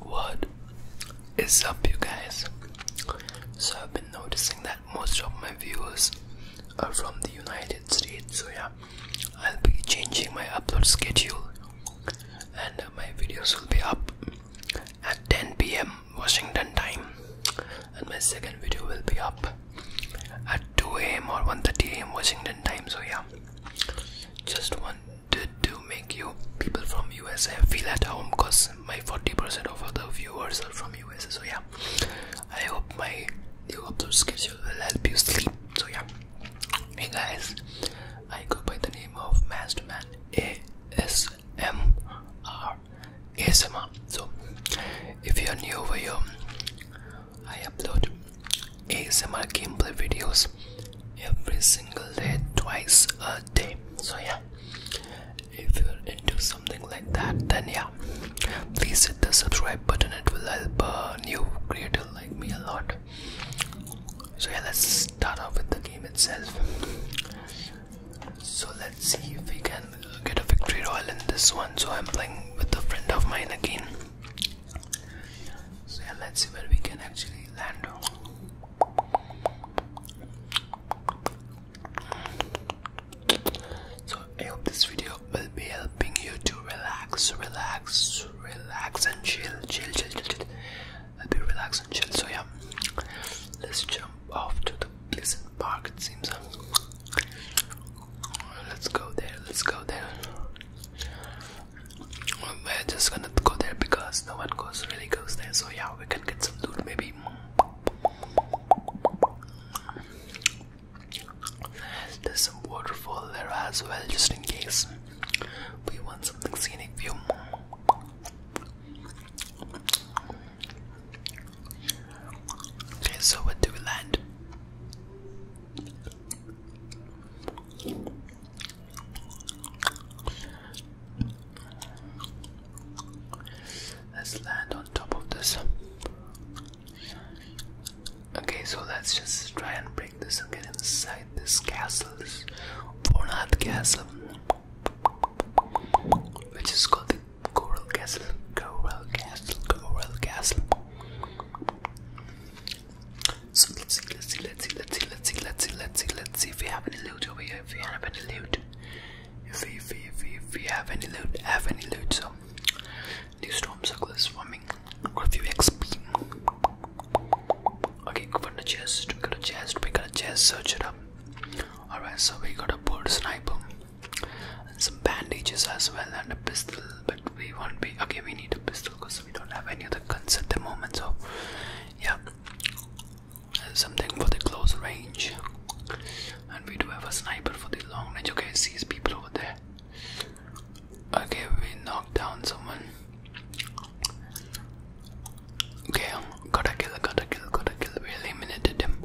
What is up, you guys? So, I've been noticing that most of my viewers are from the United States, so yeah, I'll be changing my upload schedule and my videos will be up at 10 pm Washington time, and my second video will be up at 2 am or 1:30 am Washington time, so yeah, just one did to make you people from USA feel at home because my 40% of the viewers are from USA. So yeah, I hope my new upload schedule will help you sleep. So yeah, hey guys, I go by the name of Masterman A S M R ASMR. So if you're new over here, I upload ASMR gameplay videos every single day twice a day so yeah if you're into something like that then yeah please hit the subscribe button it will help a uh, new creator like me a lot so yeah let's start off with the game itself so let's see if we can get a victory royal in this one so i'm playing with a friend of mine again so yeah, let's see where we can actually land. So I hope this video will be helping you to relax, relax, relax and chill, chill, chill, chill, chill. I'll be and chill. So yeah, let's jump off to the pleasant park. It seems. Let's go there. Let's go there. We're just gonna go there because no one goes really goes there. So yeah, we can get some loot maybe. There's some waterfall there as well, just in case we want something scenic view. Okay, so where do we land? Let's land on top of this. Okay, so let's just try and break this and get inside this castle, this castle, which is called the Coral Castle. Coral Castle, Coral Castle let's see, let's see, let's see, let's see, let's see, let's see, let's see, let's see if we have any loot over here. If we have any loot, if we, if we, if we, have any loot, have any loot. So, new storm circle is forming. Got a few XP. Okay, go for the chest. We got a chest. We got a chest. Search it up. Alright, so we got a bird sniper and some bandages as well and a pistol. But we won't be okay. We need a pistol because we don't have any other guns at the moment so yeah something for the close range and we do have a sniper for the long range okay see these people over there okay we knocked down someone okay gotta kill gotta kill gotta kill we eliminated him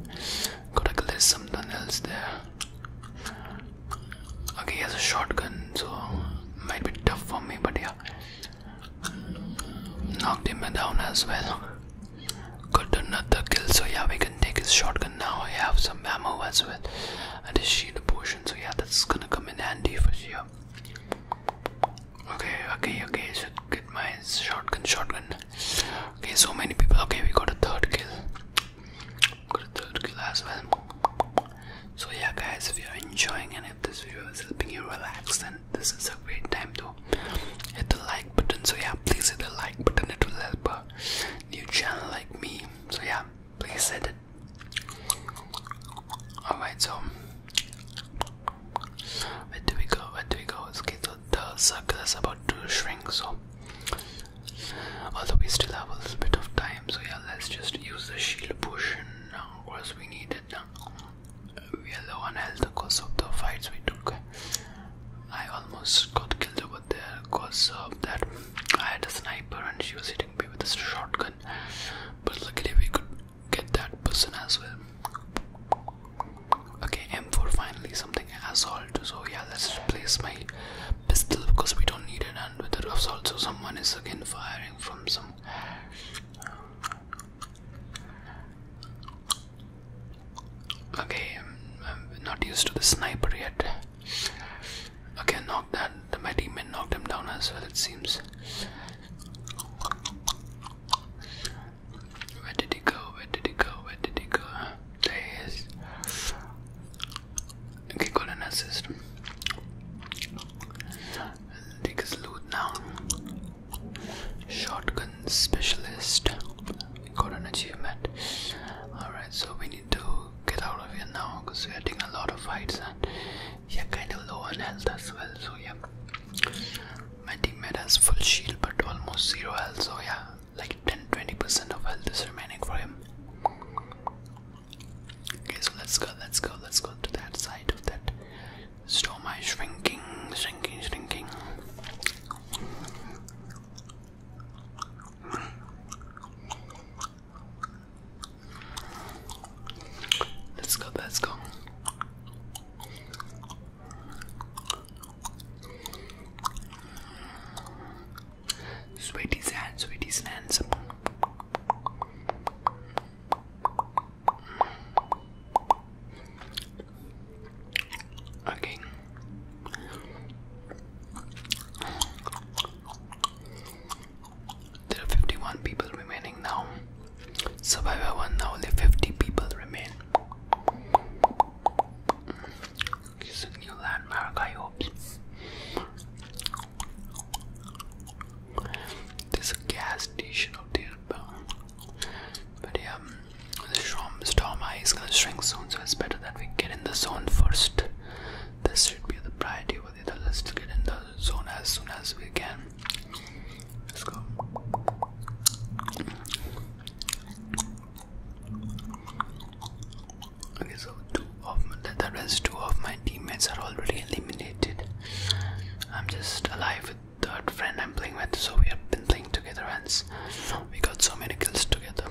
gotta kill there's something else there okay he has a shotgun so might be tough for me but yeah. Knocked him down as well. Got another kill, so yeah, we can take his shotgun now. I have some ammo as well, and his shield potion, so yeah, that's gonna come in handy for sure. Okay, okay, okay, I should get my shotgun, shotgun. Okay, so many people. Okay, we got a third kill. Got a third kill as well. So yeah guys, if you're enjoying and if this video is helping you relax then this is a great time to hit the like button. So yeah, please hit the like button, it will help a new channel like me. So yeah, please hit it. Alright, so where do we go? Where do we go? Okay, so the circle is about to shrink, so although we still have a little bit of time, so yeah, let's just use the shield potion now was we needed we are low on health because of the fights we took I almost got killed over there because of that I had a sniper and she was hitting me with a shotgun but luckily we could get that person as well okay M4 finally something assault so yeah let's replace my pistol because we don't need it and with the assault so someone is again firing from some Okay, I'm, not used to the sniper yet. Okay, knock that. My teammate knocked him down as well, it seems. Where did he go? Where did he go? Where did he go? There he is. Okay, got an assist. Take loot now. Shotgun specialist. Got an achievement. Alright, so we need to get out of here now because we are taking a lot of fights and we are kind of low on health as well. So, yeah, my teammate has full shield but almost zero health. So, yeah, like 10 20% of health is remaining for him. Okay, so let's go, let's go, let's go to that side of that stomach shrinking, shrinking, shrinking. Let's go, let's go. Sweaty sands, sweaty sands. Okay. There are 51 people remaining now. Survivor 1 now, only 50 people remain. It's a new landmark, I hope. There's a gas station out here, but, yeah, um, the storm, storm is gonna shrink soon, so it's better that we get in the zone first. This should be the priority over there. Let's get in the zone as soon as we can. Let's go. Okay, so two of my, the rest two of my teammates are already eliminated. I'm just alive with third friend I'm playing with, so we have been playing together and we got so many kills together.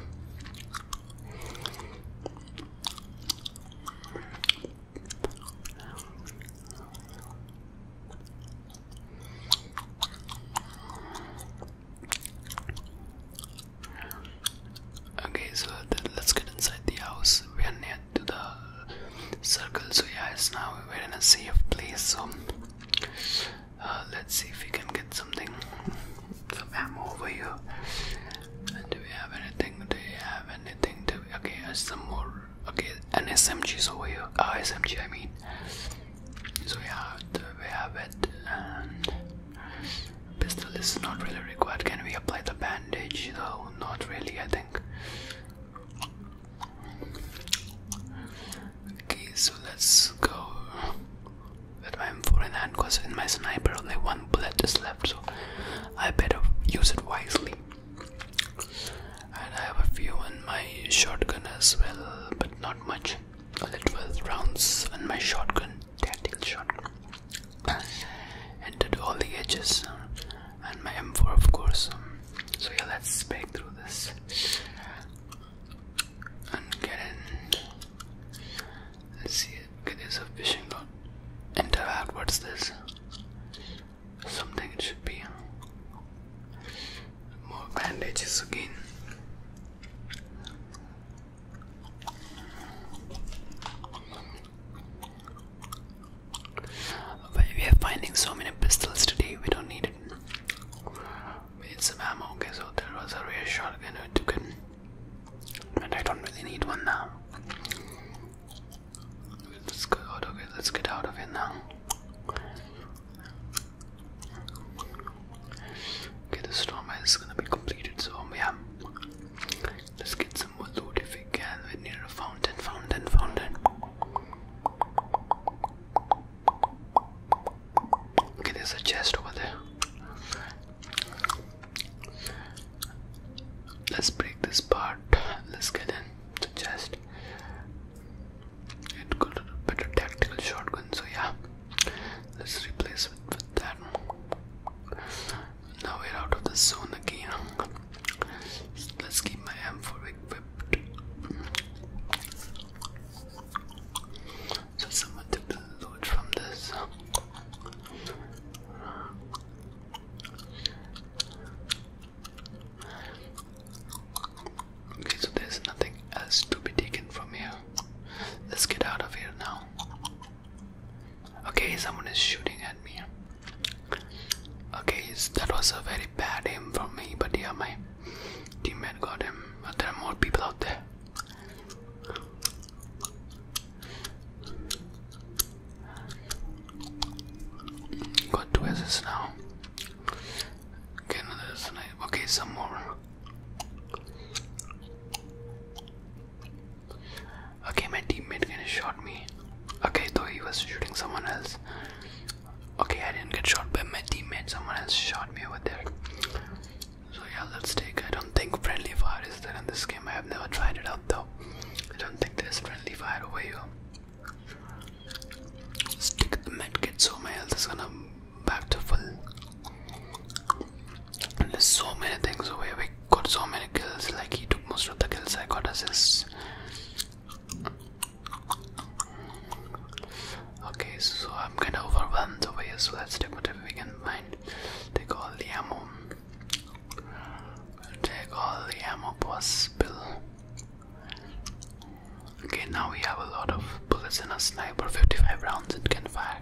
Okay, so let's get inside the house. We are near to the circle, so yeah, it's now we're in a safe place. So uh, let's see if we can get something, some ammo over here. And do we have anything? Do we have anything? To, okay, some more. Okay, an SMG's over here. Uh, ah, SMG, I mean. So yeah, we have it, and Pistol is not really required. Can we apply the bandage though? not really, I think. Okay, so let's go with I'm for in hand because in my sniper only one bullet is left, so I better use it wisely. And I have a few in my shotgun as well, but not much. Only 12 rounds on my shotgun their shot entered all the edges and my m4 of course so yeah let's break through this and get in let's see okay there's a fishing rod enter out what's this something it should be more bandages again we are finding so many pistols today, we don't need it. We need some ammo, okay, so there was a rare shotgun, I took it. And I don't really need one now. Let's go out of let's get out of here now. Okay, the storm is gonna be completed, so yeah. Let's get some more loot if we can. We're near a fountain, fountain, fountain. Okay, there's a chest over there. Let's break this part. Let's get in the chest. It could a better tactical shotgun, so yeah. Let's replace it with that. Now we're out of the zone again. Let's keep my M4 equipped. So someone took loot from this. Okay, so there's nothing else to be taken from here. Let's get out of here now. Okay, someone is shooting at me. Okay, that was a very bad aim from me, but yeah, my teammate got him. But there are more people out there. Got two assists now. Okay, another nice. Okay, some more. Okay, my teammate kinda shot me. Okay, though he was shooting someone else. Okay, I didn't get shot by my teammate, someone else shot me over there. So yeah, let's take I don't think friendly fire is there in this game. I have never tried it out though. I don't think there's friendly fire over here. Stick the medkit so my health is gonna back to full there's so many things over here. we got so many kills, like he took most of the kills, I got assists. Okay, so I'm kinda overwhelmed over here, so let's take whatever we can find. Take all the ammo. Take all the ammo possible. Okay, now we have a lot of bullets in a sniper, 55 rounds it can fire.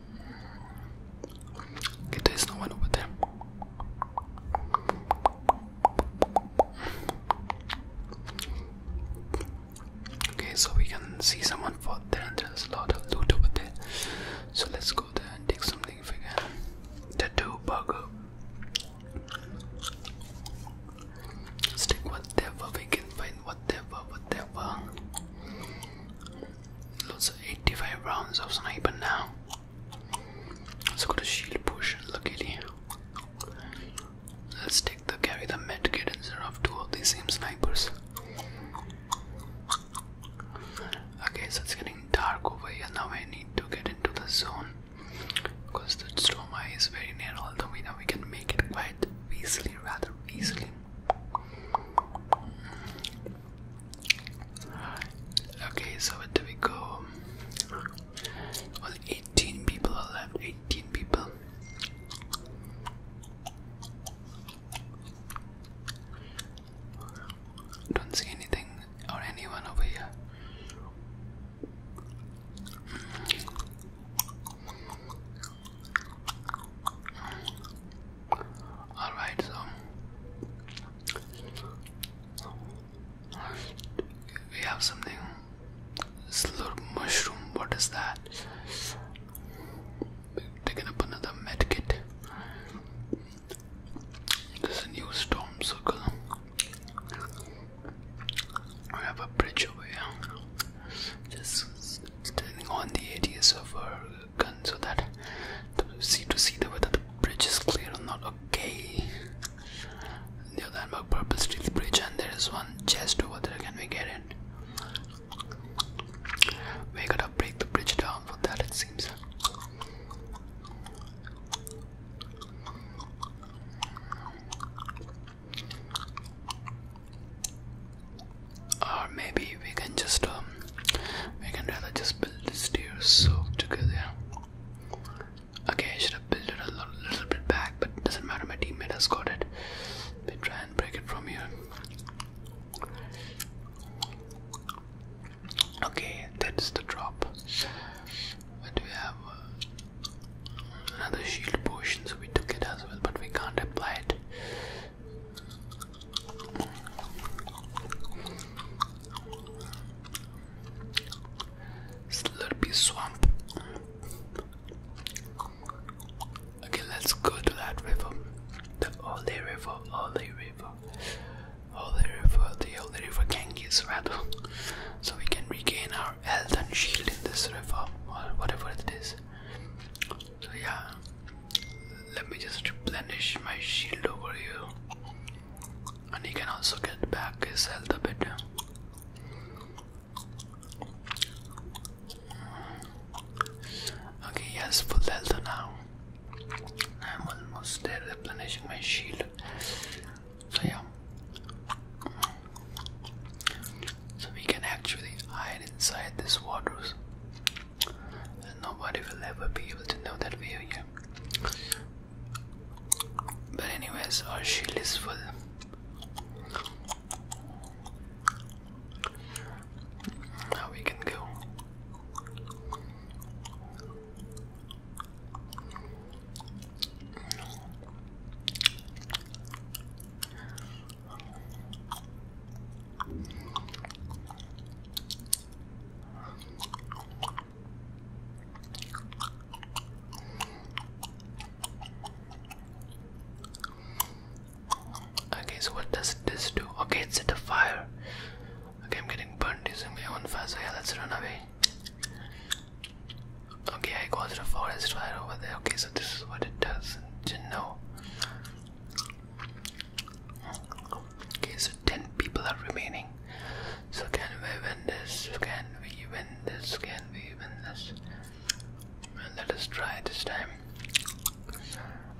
Okay, there is no one over there. Okay, so we can see someone for there, and there's a lot of loot over there. So let's go there and take something if we can. Tattoo burger. Stick whatever we can find, whatever, whatever. Lots of 85 rounds of sniper now. Let's go to shield push, luckily. Let's take the carry the medkit instead of two of the same snipers. Okay, so it's getting dark over here. Now I need to get into the zone because the stroma is very near, although we know we can make it quite easily, rather easily. Okay, so where do we go? Well, 18 people left. 18 people. Don't see anything or anyone over here. Alright, so we have something little mushroom. What is that? Taking up another medkit. This is a new storm circle. We have a bridge over here. Just standing on the edges of our gun so that to see to see whether the bridge is clear or not. Okay. The other handbag purple steel bridge and there is one chest over there. Can we get it? We gotta break the bridge down for that it seems or maybe we can just um, we can rather just build the stairs so together okay I should have built it a little, bit back but doesn't matter my teammate has got it we try and break it from here okay that's the drop do we have uh, another shield potion so we took it as well but we can't apply it Slurpy swamp. Okay, let's go to that river. The Holy River, Holy River, Holy River, the Holy River Ganges rather. So we can regain our health and shield in this river whatever it is. So yeah, let me just replenish my shield over here. And he can also get back his health a bit. Okay, he has full health now. I'm almost there replenishing my shield. So yeah. So we can actually hide inside this waters nobody will ever be able to know that we are here. but anyways our shield is full now we can go Okay, so what does this do? Okay, it's a fire. Okay, I'm getting burnt using my own fire, so yeah, let's run away. Okay, I got the forest fire over there. Okay, so this is what it does. Didn't know. Okay, so 10 people are remaining. So, can we win this? Can we win this? Can we win this? And let us try this time.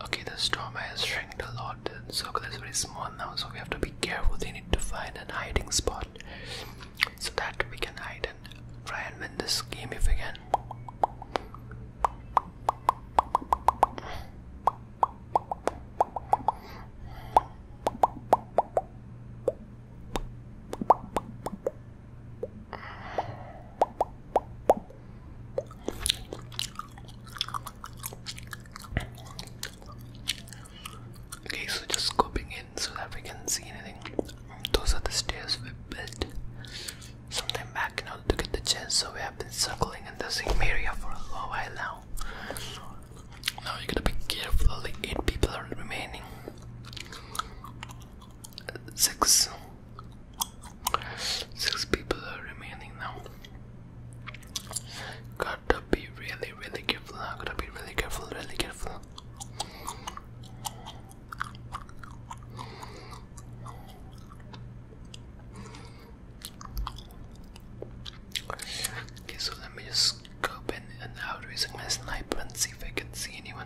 Okay, the storm has shrinked a lot. The circle is very small now, so we have to be careful. They need to find an hiding spot so that we can hide and try and win this game if we can. Okay, so just scooping in so that we can see anything. Those are the stairs we built. Some back, you to get the chance, so we have been circling in the same area for a long while now. Now you gotta be careful, 8 people are remaining. 6 6 people are remaining now. Gotta be really, really careful now. Gotta be really careful, really careful. Okay, so let me just scope in and out using my sniper and see if I can see anyone.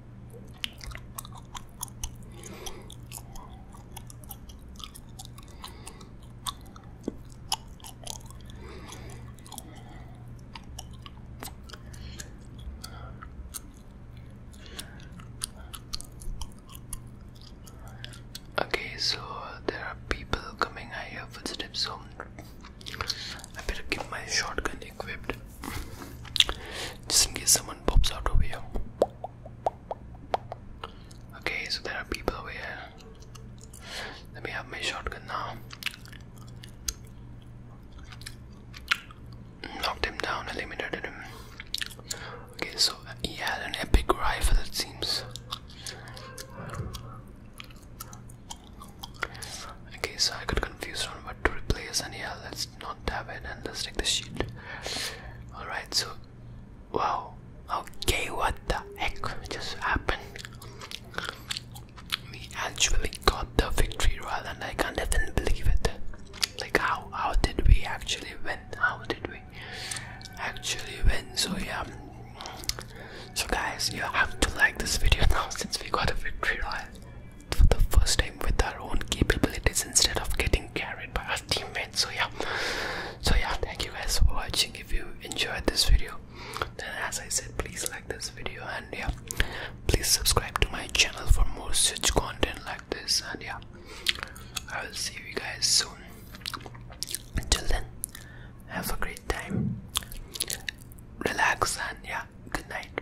Okay, so there are people coming. I hear footsteps, so I better keep my shotgun equipped. Just in case someone pops out over here. Okay, so there are people over here. Let me have my shotgun now. Knocked him down, eliminated him. Okay, so he had an epic rifle, it seems. Okay, so I got confused on what to replace, and yeah, let's not on tab in and let's take the sheet. Alright, so wow. Okay, what the heck just happened? We actually got the victory royal and I can't even believe it. Like how how did we actually win? How did we actually win? So yeah so guys you have to like this video now since we got the victory royal for the first time with our own capabilities instead of getting carried by our teammates. So yeah, so yeah, thank you guys for watching. If you enjoyed this video, then as I said, please like this video and yeah, please subscribe to my channel for more such content like this. And yeah, I will see you guys soon. Until then, have a great time, relax, and yeah, good night.